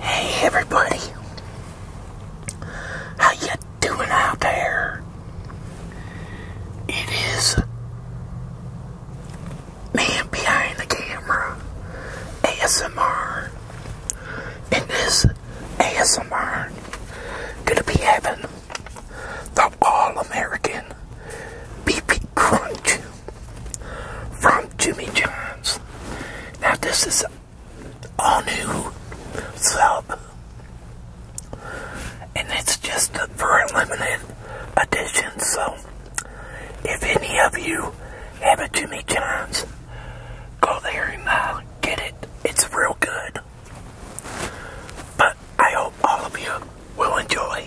Hey everybody, how you doing out there? It is man behind the camera, ASMR, and this ASMR gonna be having the all-American BP Crunch from Jimmy John's. Now this is all new sub. And it's just for a limited edition. So if any of you have a Jimmy John's, go there and uh, get it. It's real good. But I hope all of you will enjoy.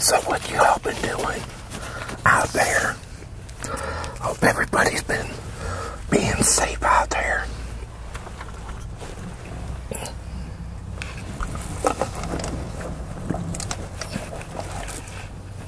So what you all been doing out there? Hope everybody's been being safe out there.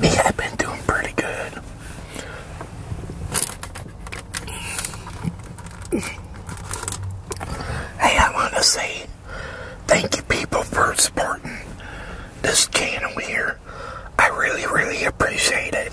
Me, I've been doing pretty good hey, I want to say thank you people for supporting this channel here. I really, really appreciate it.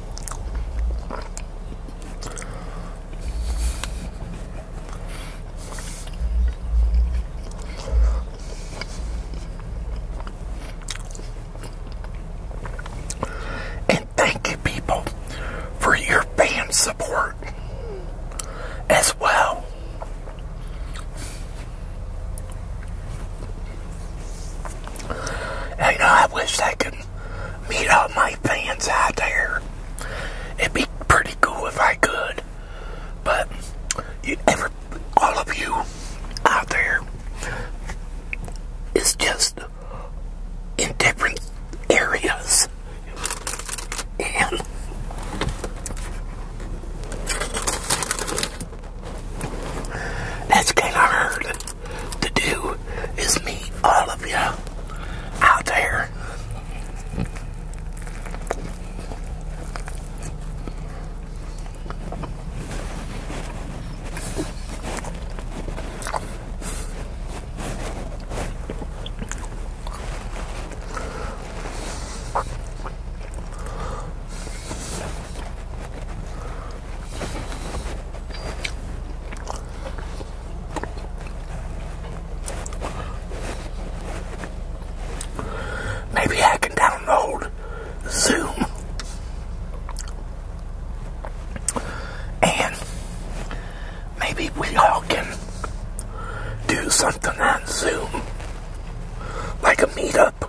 And thank you, people, for your fan support as well. And, I wish I could meet all my fans out there. It'd be pretty cool if I could. But you ever all of you out there is just in different areas. And that's kind of hard to do is meet all of you out there. Maybe I can download Zoom and maybe we all can do something on Zoom like a meetup.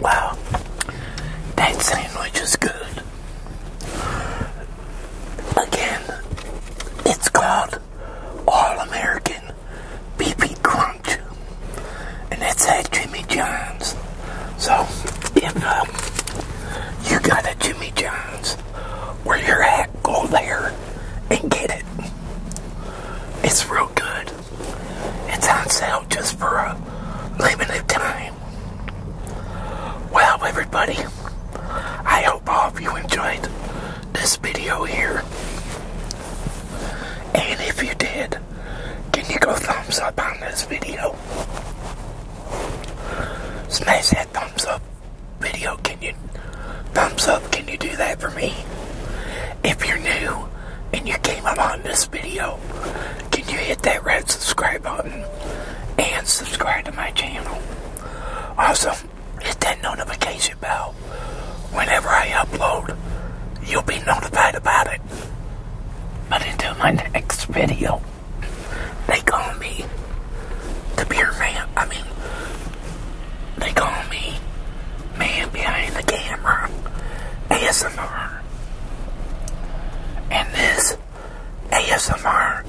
Wow, that sandwich is good. Again, it's called All American BP Crunch, and it's at Jimmy John's. So, if um, you got a Jimmy John's where you're at, go there and get it. It's real good. It's on sale just for a limited time. Well, everybody, I hope all of you enjoyed this video here. And if you did, can you go thumbs up on this video? Smash that thumbs up video. Can you thumbs up? Can you do that for me? If you're new and you came upon this video, can you hit that red subscribe button and subscribe to my channel? Also, hit that notification bell. Whenever I upload, you'll be notified about it. But until my next video, they call me the beer man. I mean, they call me man behind the camera, ASMR. And this ASMR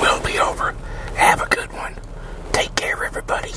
will be over. Have a good one. Take care, everybody.